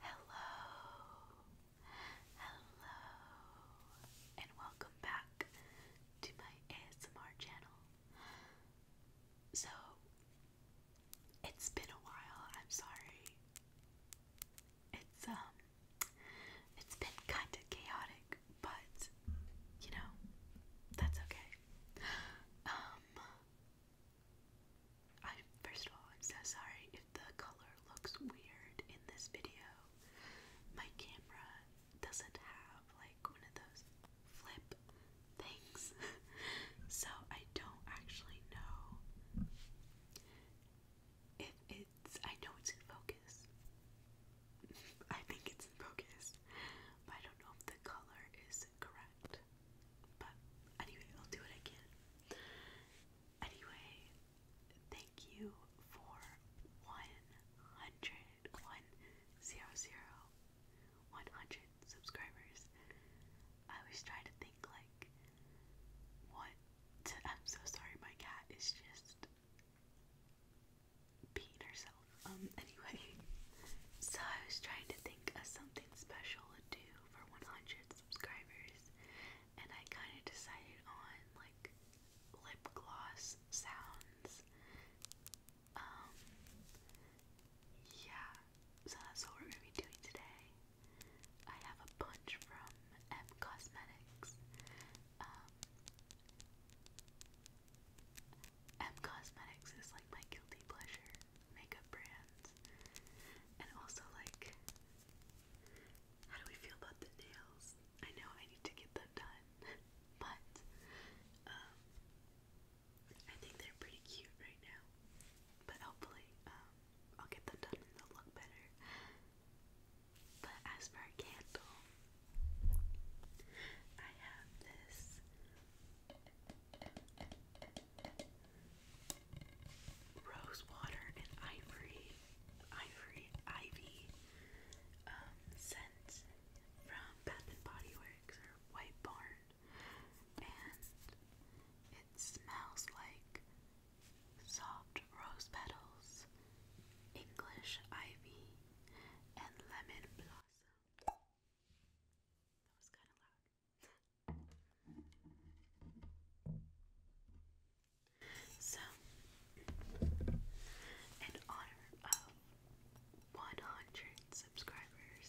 Hello, hello, and welcome back to my ASMR channel. So, it's been a while, I'm sorry. It's, um, it's been kind of chaotic, but you know, that's okay. Um, I first of all, I'm so sorry if the color looks weird in this video. My camera doesn't have like one of those flip things, so I don't actually know if it's, I know it's in focus. I think it's in focus, but I don't know if the color is correct. But anyway, I'll do what I Anyway, thank you for 100, subscribers. I always try to think like, what? I'm so sorry, my cat is just peed herself. Um, anyway, so I was trying to think of something special to do for 100 subscribers, and I kind of decided on like lip gloss sounds. Um, yeah, so that's what we're gonna be doing today. I have a bunch from M Cosmetics, um, M Cosmetics is like my guilty pleasure makeup brands. And also like how do we feel about the nails? I know I need to get them done, but um I think they're pretty cute right now. But hopefully, um I'll get them done and they'll look better. But as for candle, I have this rose water and ivory, ivory, ivy um, scent from Bath and Body Works or White Barn, and it smells like soft rose petals English ivy, and lemon blossom. That was kind of loud. so, in honor of 100 subscribers,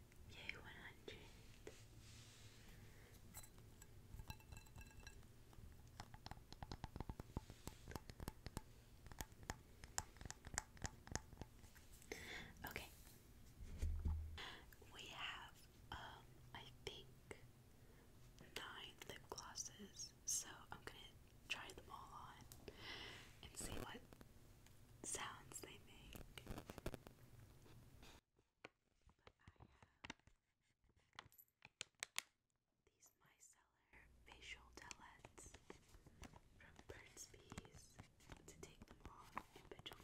Yay, 100. Okay. We have, um, I think nine lip glosses, so I'm gonna try them all on and see what sounds they make. But I these micellar facial towelettes from Burt's Bees to take them off between.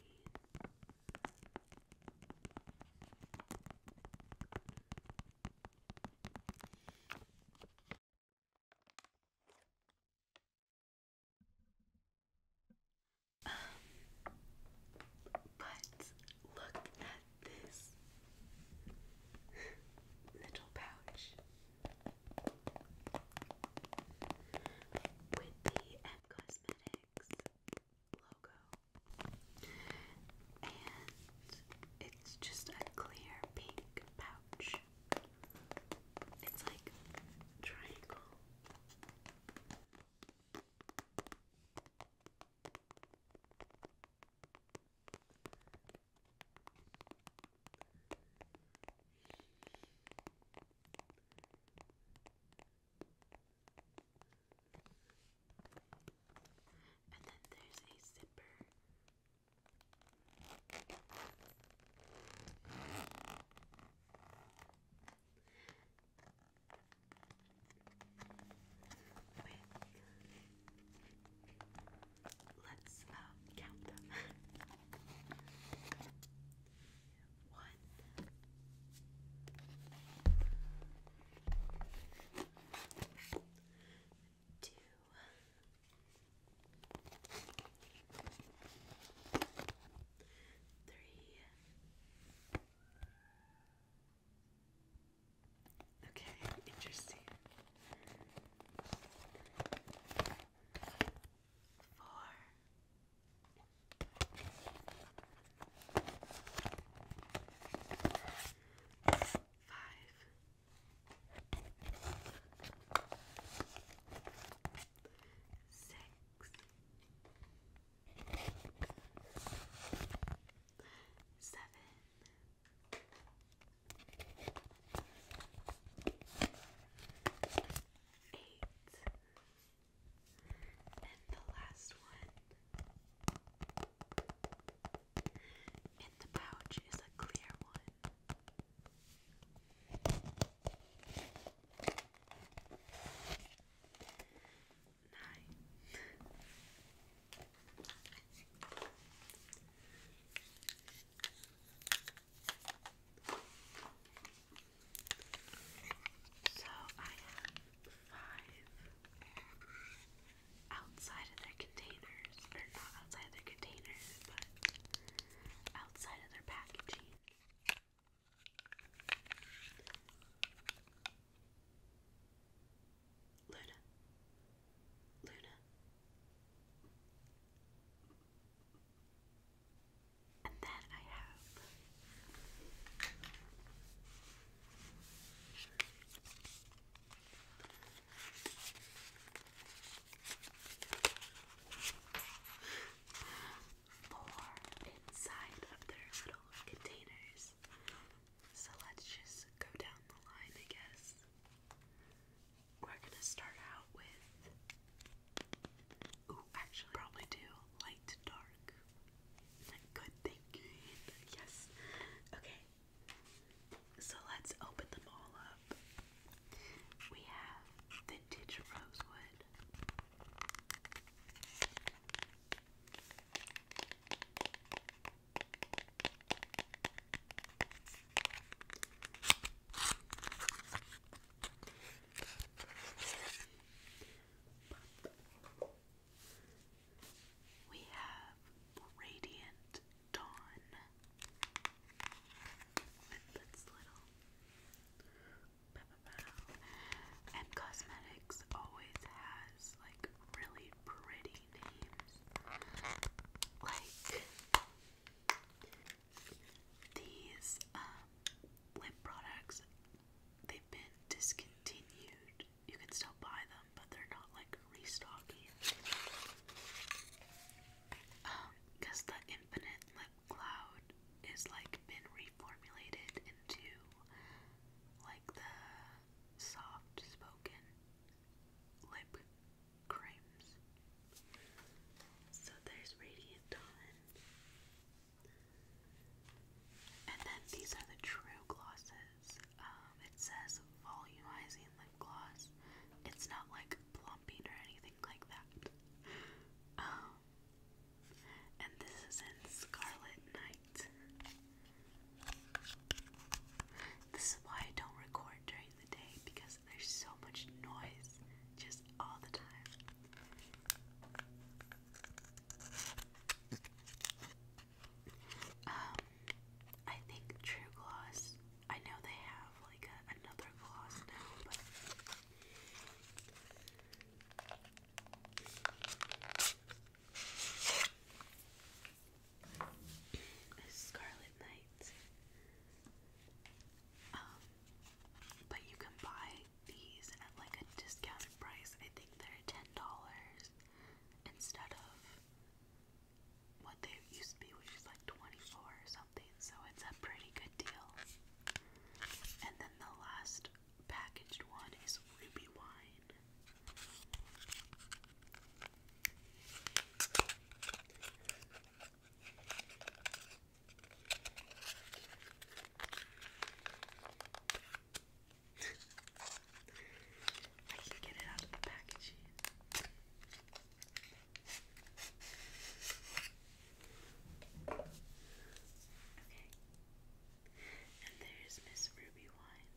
Um, but look at this little pouch with the M Cosmetics logo, and it's just a clear pink pouch. It's like triangle. And then there's a zipper with let's uh, count them. One, two, three, Okay, interesting. Four. Five. Six. Seven. Seven. Eight. And the last one. And the pouch is a clear one. So I have five outside of their containers, or not outside their containers, but outside of their packaging. Luna, Luna, and then I have four inside of their little containers. So let's just go down the line, I guess. We're gonna start out with. Ooh, actually, probably do light dark. Good thinking. Yes. Okay. So let's open them all up. We have vintage rosewood, we have Radiant Dawn with its little and cosmetics always has like really pretty names. Like these um, lip products, they've been discontinued. You can still buy them, but they're not like restocking. Um, because the infinite lip cloud is like been reformulated into like the soft spoken lip creams. So there's Radiant Dawn. And then these are the true glosses. Um, it says volumizing lip gloss. It's not like plumping or anything like that. Um, and this is in Scarlet Night. This is why I don't record during the day because there's so much noise just all the time. Um, I think True Gloss. I know they have like another gloss now, but a Scarlet Knight. Um, but you can buy these at like a discounted price. I think they're ten dollars instead of what they used to be, which is like twenty-four or something. So it's a pretty good deal. And then the last packaged one is ruby wine. I can get it out of the packaging. Okay. And there's Miss Ruby Wine.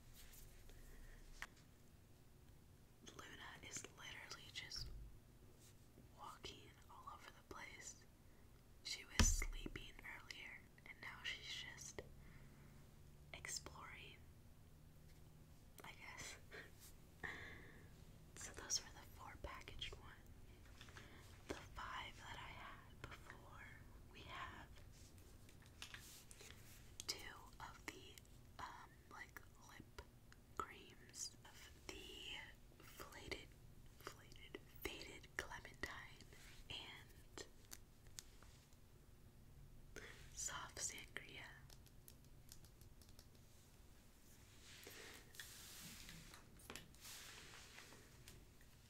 Luna is literally just walking all over the place. She was sleeping earlier, and now she's just exploring, I guess. so, those were the four packaged ones. The five that I had before, we have two of the um, like lip creams the flated flated faded clementine and soft sangria.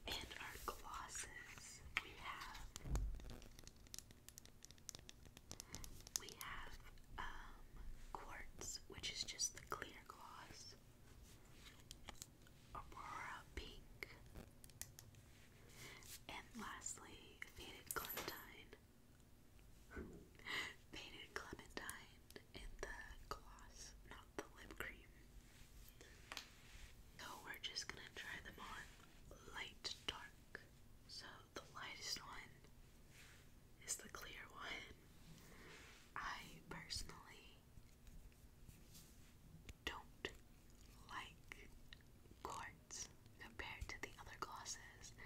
And our glosses, we have we have um, quartz, which is just the clear gloss. Aurora pink, and lastly, faded clementine. Faded clementine in the gloss, the lip cream. So we're just gonna try them on light dark. So the lightest one is the clear one. I personally don't like quartz compared to the other glosses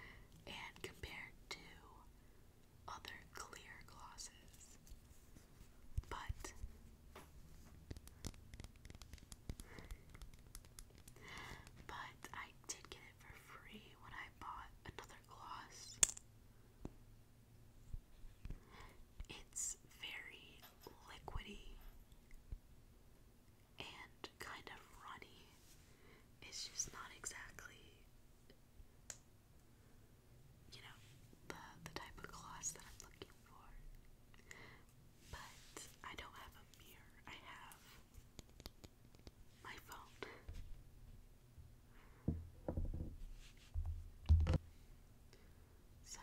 and compared to other clear glosses. But but I did get it for free when I bought another gloss. It's very liquidy and kind of runny. It's just not exactly you know, the the type of gloss that I'm looking for. But I don't have a mirror. I have my phone. So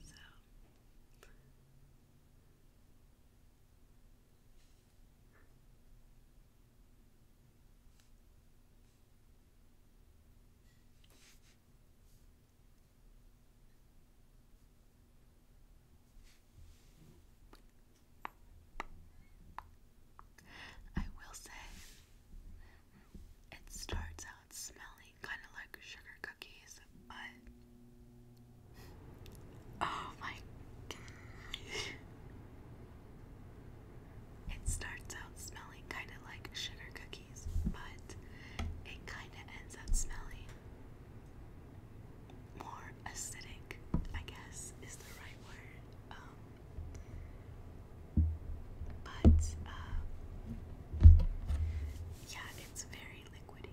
so I will say it starts out smelling kind of like sugar cookies, but oh my it starts out smelling kind of like sugar cookies, but it kind of ends up smelling more acidic, I guess is the right word. Um, but uh, yeah, it's very liquidy.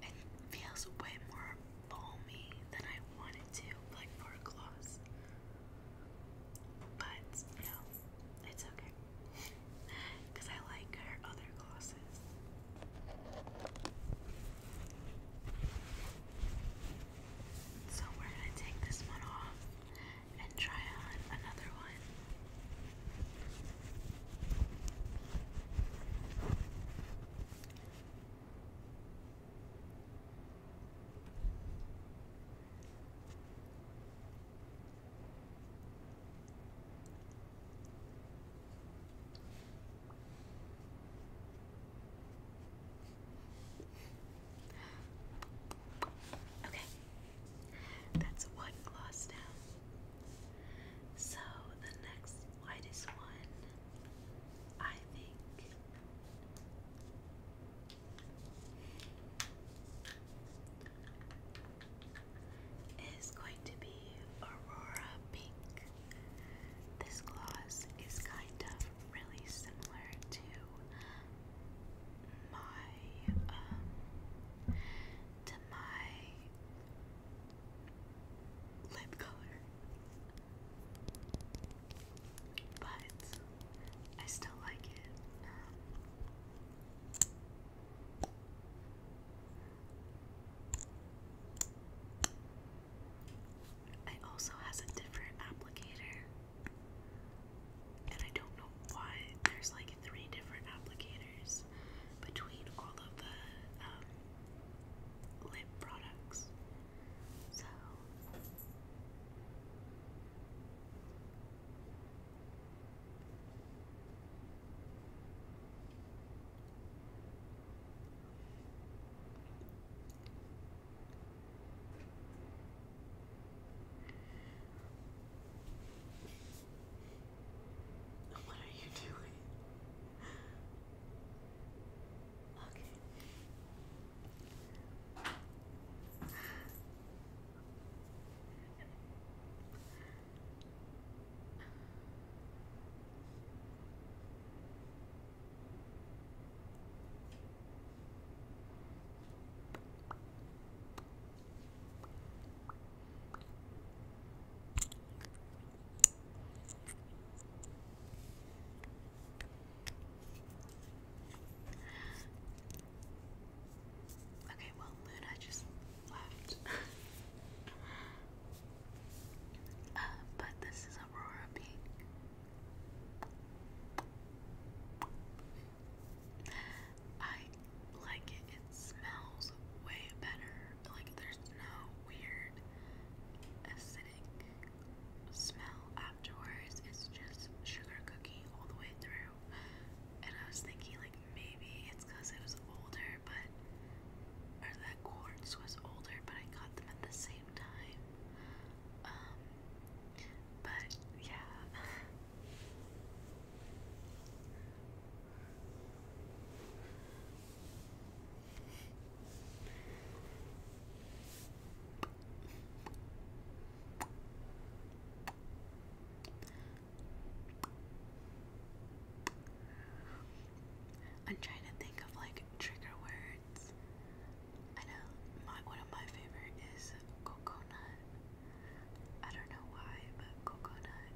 It feels way more balmy than I wanted to, like for gloss. But no, it's okay. Because I like her other glosses. So we're going to take this one off and try on another one. Okay, that's one gloss down. So the next lightest one, I think, is going to be Aurora Pink. This gloss is kind of really similar to my um, to my lip color. But I still like it. it also has a different applicator and I don't know why there's like three different applicators between all of the um, lip products. So. What are you doing? Okay. Okay, well, Luna just left. uh, but this is Aurora Pink. I like it. It smells way better. Like there's no weird acidic smell afterwards. It's just sugar cookie all the way through. And I was thinking like maybe it's because it was older, but or that quartz was older, but I got them at the same time. Um, but yeah. I'm trying to think of like trigger words. I know my one of my favorite is coconut. I don't know why, but coconut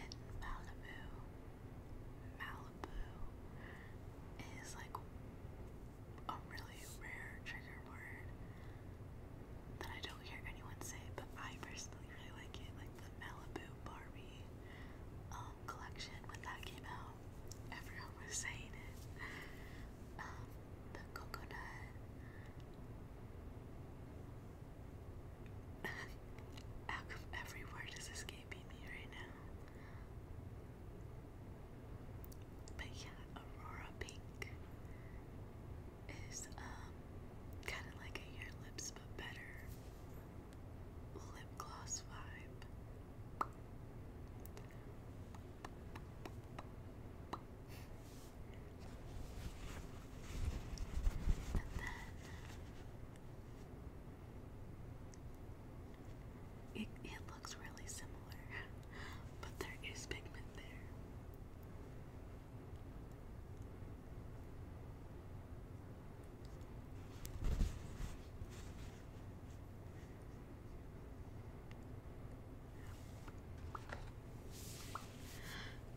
and Malibu, Malibu is like a really rare trigger word that I don't hear anyone say, but I personally really like it. Like the Malibu Barbie um, collection when that came out, everyone was saying it. Um, the coconut. How come every word is escaping me right now? But yeah, Aurora Pink is um kind of like Your Lips but better lip gloss vibe it, it looks really similar, but there is pigment there.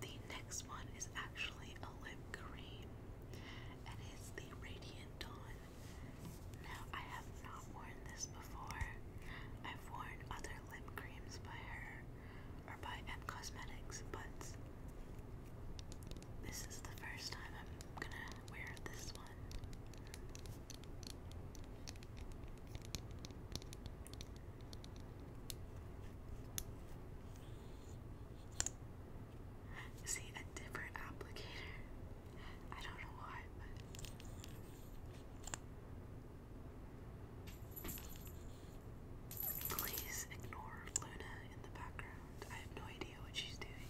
The next one is actually a lip cream, and it's the Radiant Dawn. Now, I have not worn this before. I've worn other lip creams by her or by M Cosmetics, but this is the first time I'm gonna wear this one. See, a different applicator. I don't know why, but. Please ignore Luna in the background. I have no idea what she's doing.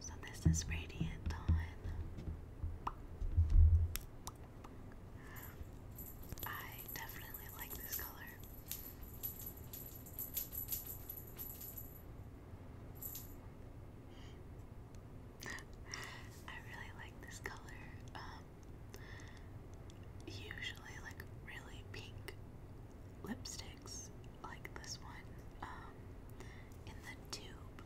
So this is Radiant Dawn. I definitely like this color. I really like this color. Um, usually like really pink lipsticks like this one um, in the tube.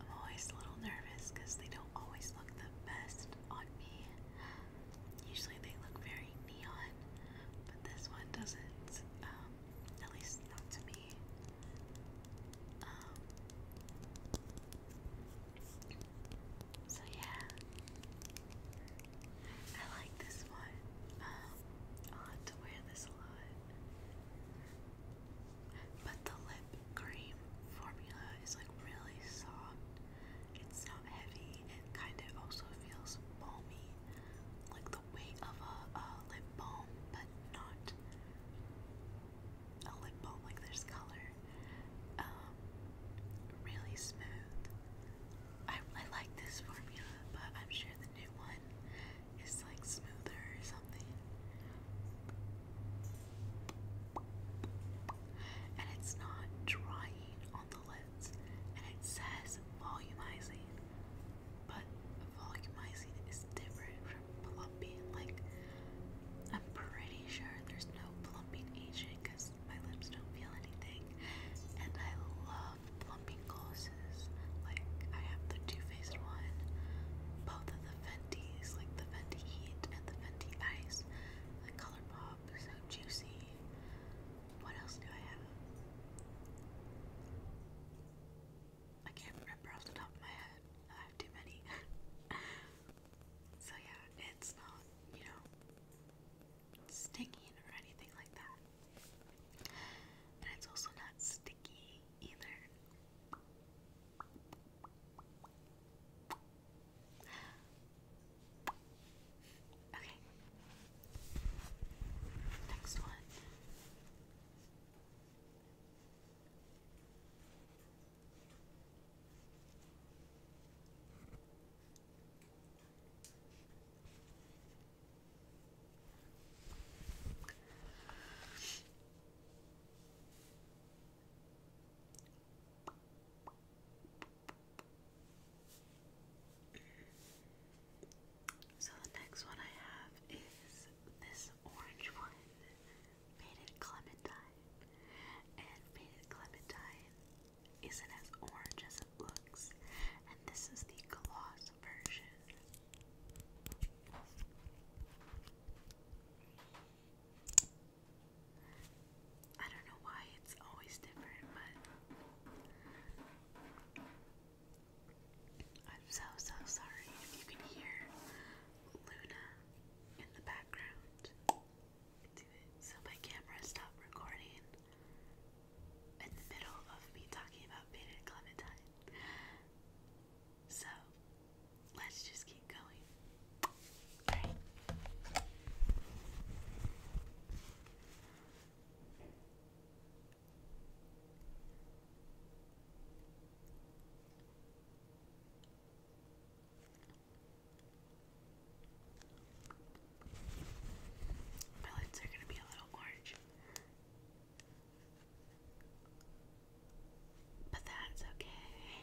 I'm always a little nervous because they don't always look the best on me. Usually they look very neon, but this one doesn't, um, at least not to me. Um, so yeah, I like this one. Um, I'll have to wear this a lot. But the lip cream formula is like really soft. It's not heavy. It kind of also feels balmy, like the weight of a, a lip balm, but not a lip balm, like there's color. Um, really smooth. I, I like this formula, but I'm sure the new one is like smoother or something. And it's not drying on the lips, and it says volumizing, but volumizing is different from plumping. Like I'm pretty sure there's no plumping agent because my lips don't feel anything. And I love plumping glosses. Like, I have the Too Faced one, both of the Fenty's, like the Fenty Heat and the Fenty Ice. The Colourpop, so juicy. What else do I have? I can't remember off the top of my head. I have too many. So yeah, it's not, you know, stinging or anything like that. And it's also not sticky either. Okay. Next one. So the next one I have is this orange one. Faded Clementine. And Faded Clementine isn't as orange as it looks. And this is the gloss version. I don't know why it's always different, but I'm so, so sorry if you can hear Luna in the background. So my camera stopped recording in the middle of me talking about Beta and So let's just keep going. Alright. My lights are going to be a little orange. But that's okay.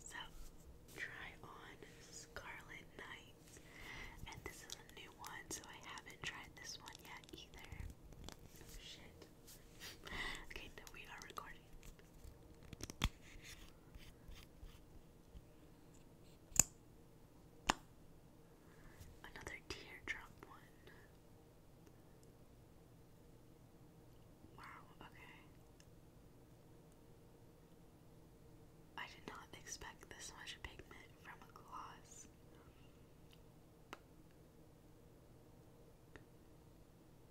So, try on Scarlet Nights. And this is a new one, so I haven't tried this one yet either. Oh, shit okay, then we are recording. Another teardrop one. Wow, okay. I did not expect this much pigment from a gloss.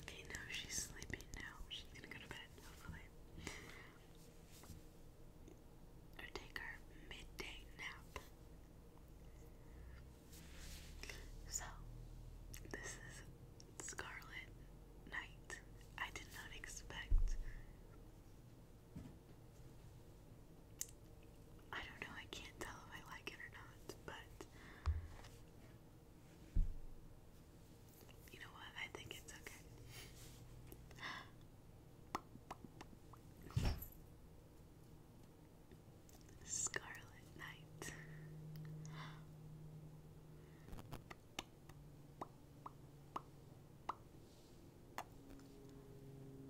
Okay, no, she's sleeping now. She's gonna go to bed, hopefully. Or take her midday nap. So, this is Scarlet Night. I did not expect I don't know, I can't tell if I like it or not, but you know what? I think it's okay. Scarlet Night. I am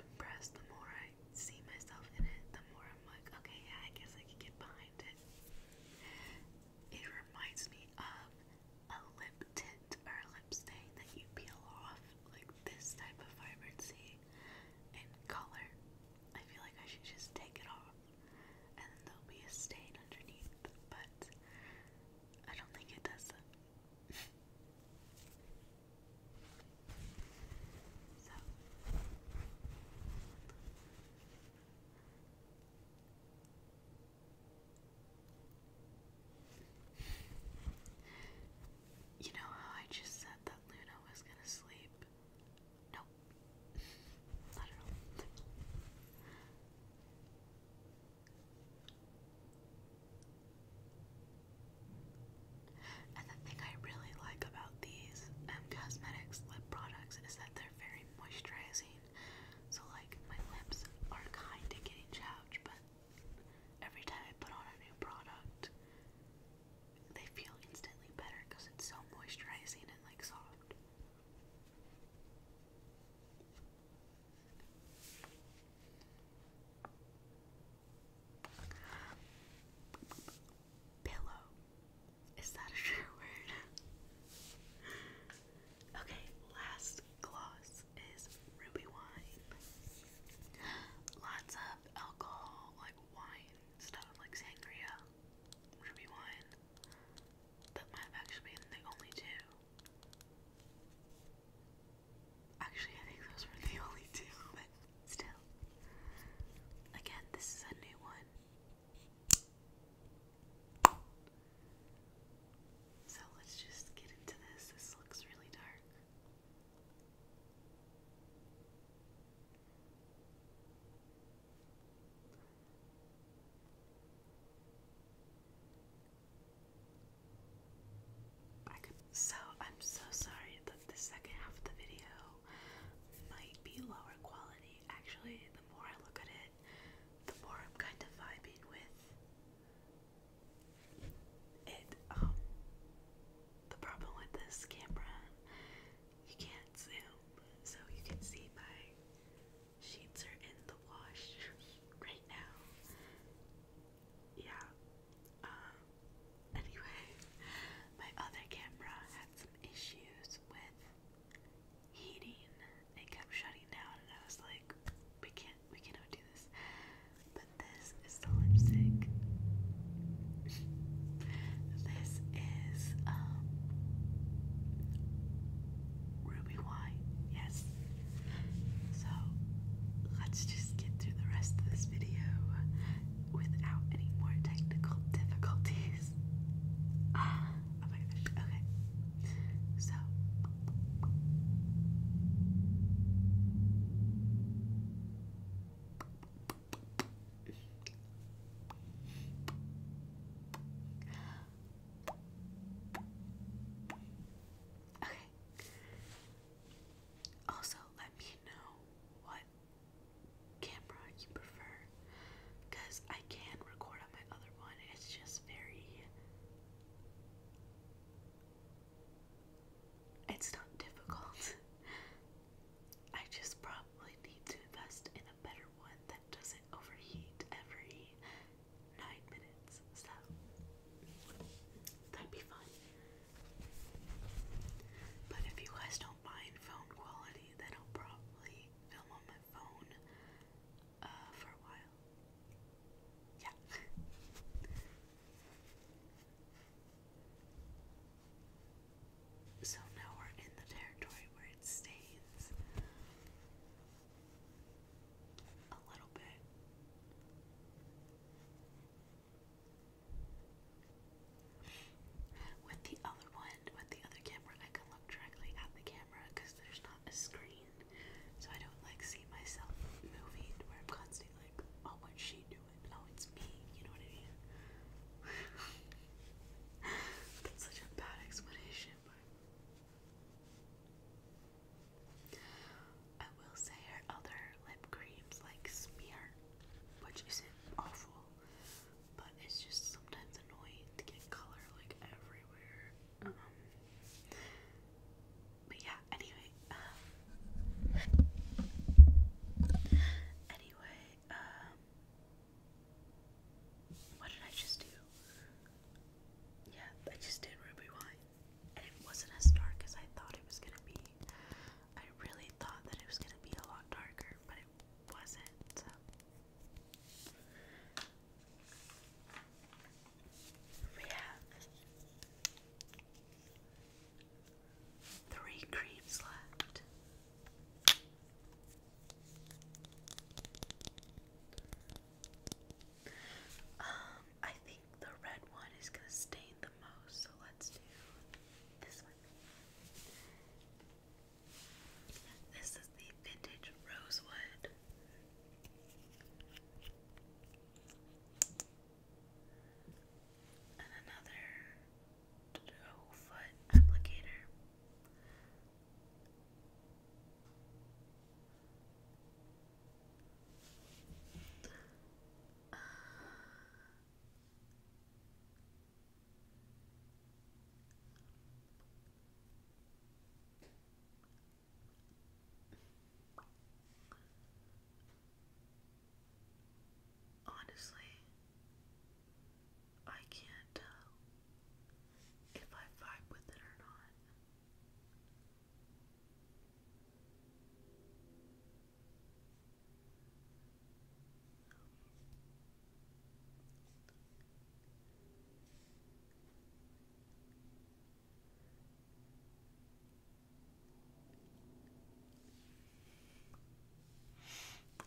impressed the more I see myself in it, the more I'm like, okay, yeah, I guess I can get behind it. It reminds me of a lip tint or a lip stain that you peel off, like this type of vibrancy in color. I feel like I should just take it off and there'll be a stain underneath, but I don't think it does so. You know how I just said that Luna was gonna sleep? No, not at all. And the thing I really like about these M um, Cosmetics lip products is that they're very moisturizing. So, like, my lips are kind of getting chapped, but every time I put on a new product, they feel instantly better because it's so moisturizing and like soft. Pillow. Is that a sure word? okay, last gloss is ruby wine. Lots of alcohol, like wine stuff like sangria, which wine. That might have actually been the only two. Actually, I think those were the only two, but still. Again, this is a new one. So let's just get into this. This looks really dark. I so I'm so sorry that the second half of the video might be lower quality. Actually, the more I look at it, the more I'm kind of vibing with it. Um, the problem with this camera you can't zoom, so you can see my sheets are in the wash right now. Yeah. Um, anyway, my other camera had some issues with heating. It kept shutting down, and I was like, we can't, we cannot do this. But this is the lipstick. this is um, ruby wine. Yes. So let's just get through the rest of this video without any more technical difficulties. Ah, oh my gosh. Okay. So. Okay. Also, let me know what camera you prefer because I can record on my other one. It's just very it's not difficult. I just probably need to invest in a better one that doesn't overheat every nine minutes, so that'd be fun. But if you guys don't mind phone quality, then I'll probably film on my phone uh, for a while. Yeah. So now we're in the territory where it stains a little bit. With the other one, with the other camera, I can look directly at the camera because there's not a screen. So I don't like see myself moving where I'm constantly like, oh, what's she doing? and now it's me, you know what I mean? That's such a bad explanation, but I will say her other lip creams like smear, which is awful, but it's just sometimes annoying to get color like everywhere. Um, but yeah, anyway, um, anyway, um, what did I just do? Yeah, I just did Ruby Wine. it wasn't as dark as I thought it was gonna be. I really thought that it was gonna be a lot darker, but it wasn't. We Three creams left. Um, I think the red one is going to stain the most, so let's do this one. This is the vintage rosewood. And another whole foot applicator. Honestly, I can't if I vibe with it or not.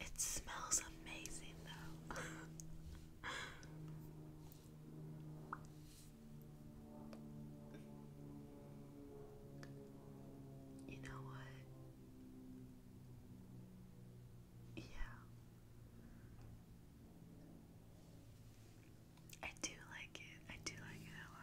It smells amazing though. you know what? Yeah. I do like it. I do like it a lot.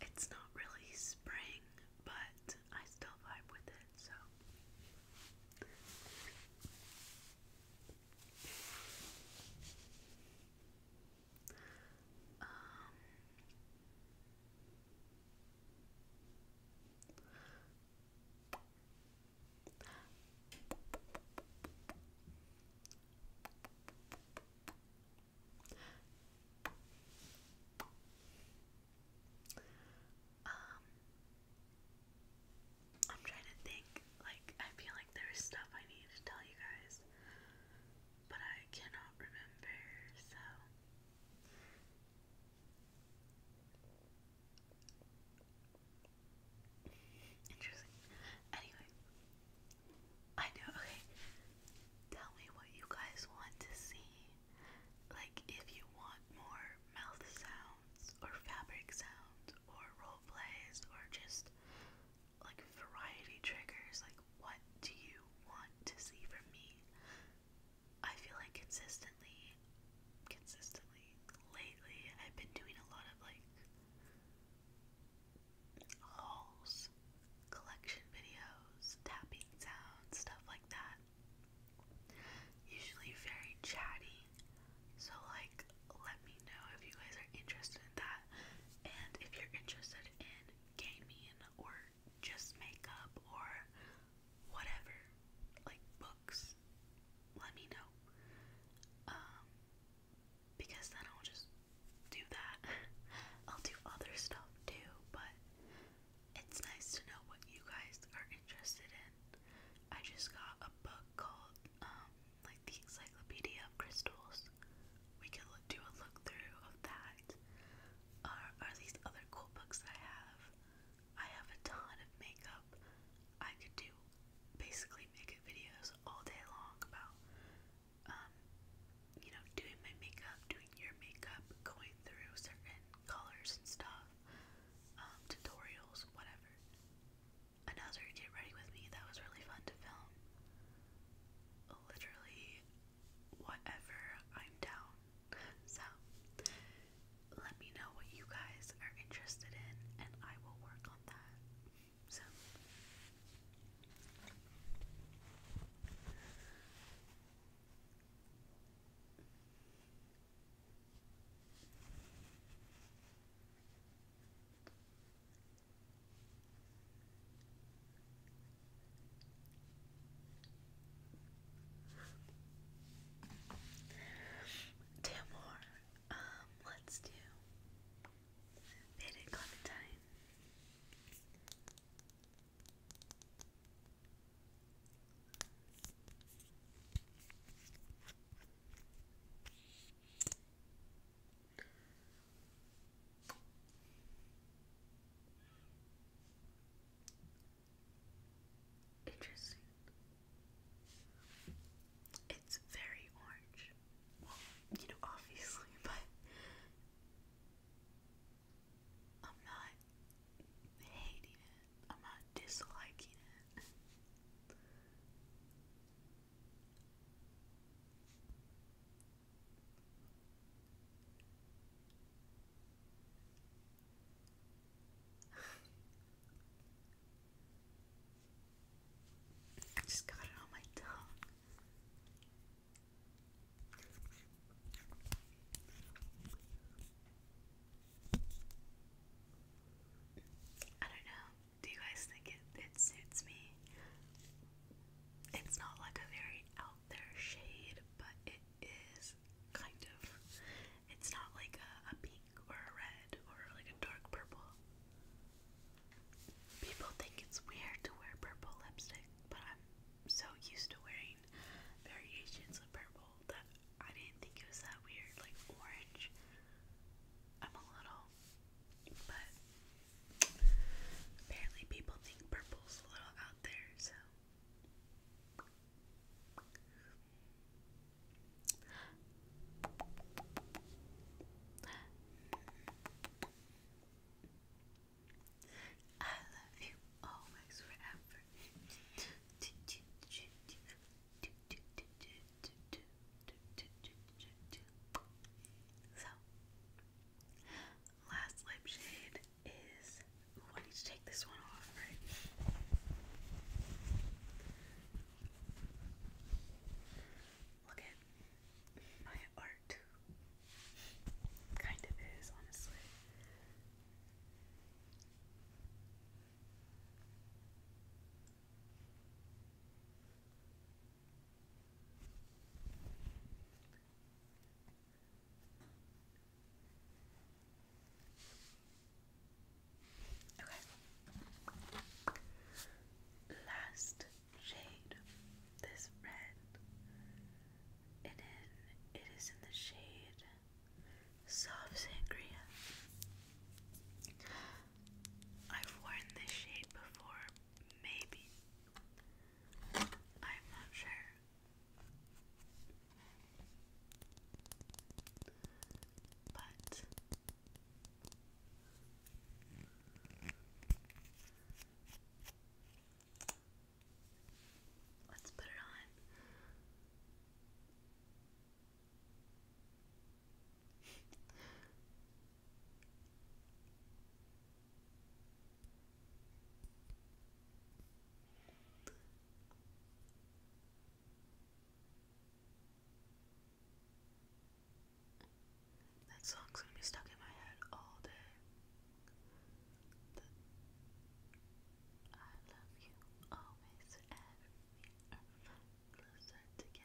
It's not really spring, but I still vibe with it, so. Um, um, I'm trying to think. Like, I feel like there's stuff I need to tell you guys, but I cannot remember, so. Anyway, I know. Okay, tell me what you guys want to see like, if you want more mouth sounds, or fabric sounds, or role plays, or just like variety triggers, like, what do you want to see from me? I feel like consistently, consistently, lately, I've been doing a lot of like hauls, collection videos, tapping sounds, stuff like that usually very chatty. So, like, let me know if you guys are interested in that. And if you're interested in gaming or just makeup or whatever, like books, let me know. Um, because then I'll just do that. I'll do other stuff too, but it's nice to know what you guys are interested in. I just got a book called um, like the Encyclopedia of Crystals. We could look, do a look through of that. are these other cool books I have? I have a ton of makeup. I could do basically makeup videos all day long about um, you know doing my makeup, doing your makeup, going through certain colors and stuff. Um, tutorials, whatever. Another Get Ready With Me that was really fun to film. Literally, whatever I'm down. So, let me know what you guys are interested in, and I will work on that. So, Two more. Um, let's do Faded Clementine. Interesting. It's very orange. Well, you know, obviously, but I'm not hating it. I'm not disliking it. I just got it on my tongue. I don't know. Do you guys think it, it suits me? It's not like a very out there shade, but it is kind of. It's not like a, a pink or a red or like a dark purple. People think it's weird to wear purple lipstick, but I'm so used to wearing variations of purple that I didn't think it was that weird, like orange. I'm a little, but apparently people think purple's a little out there, so. I love you always forever. So, last lip shade is. I need to take this one off, Look at my art. Kind of is, honestly. Okay. Last shade, this red, and then it is in the shade soft sangria. I've worn this shade before, maybe. I'm not sure. But Let's put it on. That song's gonna be stuck in my head all day. I love you always and we closer together.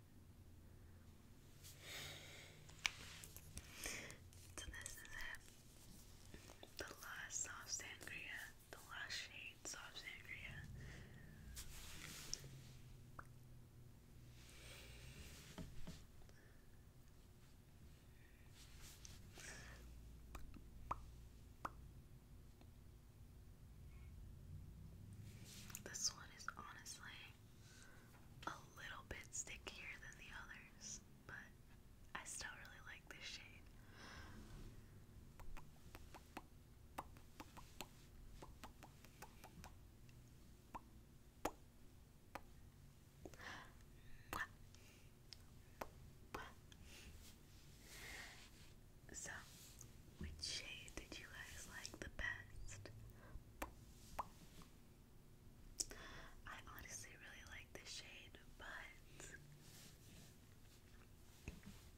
So this is it. The last soft sangria. The last shade soft sangria. This one is honestly a little bit stickier than the others, but I still really like this shade. So, which shade did you guys like the best? I honestly really like this shade, but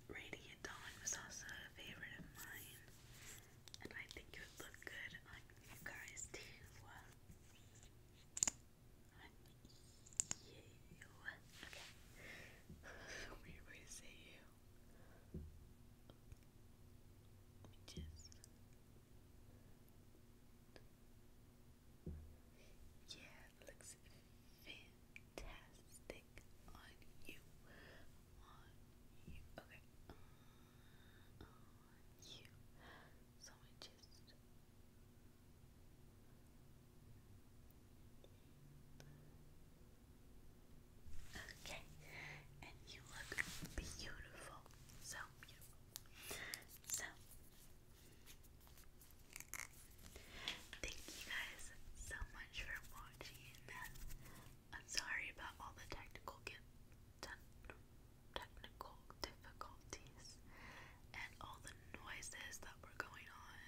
Radiant Dawn was also a favorite of mine, and I think it would look good on you guys too. On you. Okay. Weird way to you yeah, looks fantastic on you, on you, okay, uh, on, you, so I just Okay, and you look beautiful. So beautiful. So, thank you guys so much for watching. I'm sorry about all the technical get technical difficulties and all the noises that were going on.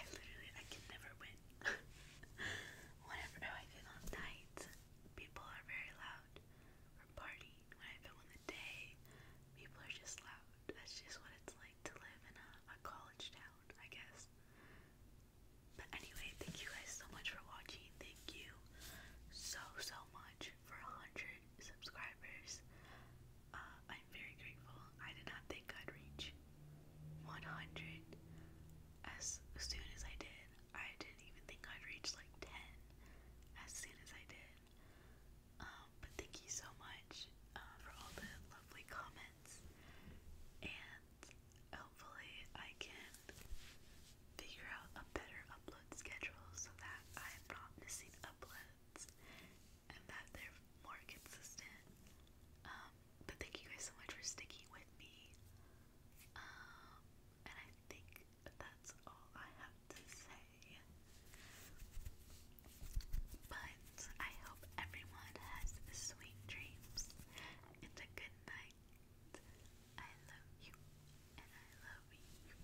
I literally I can never win. Whenever oh, I feel on nights, people are very loud. Or party. When I feel in the day, people are just loud. That's just what it's like to live in a, college town, I guess. But anyway, thank you guys so much for watching. Thank you so, so much for a 100 subscribers. Uh, I'm very grateful. I did not think I'd reach 100 as soon as I did. I didn't even think I'd reach like 10 as soon as I did. Um, but thank you so much uh, for all the lovely comments, and hopefully, I can figure out a better upload schedule so that I'm not missing uploads and that they're more consistent. Um, but thank you guys so much for sticking with me. Um, and I think that's all I have to say. But I hope everyone has sweet dreams and a good night. I love you, and I love you,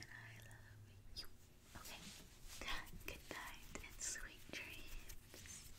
and I love you. Okay, good night and sweet dreams.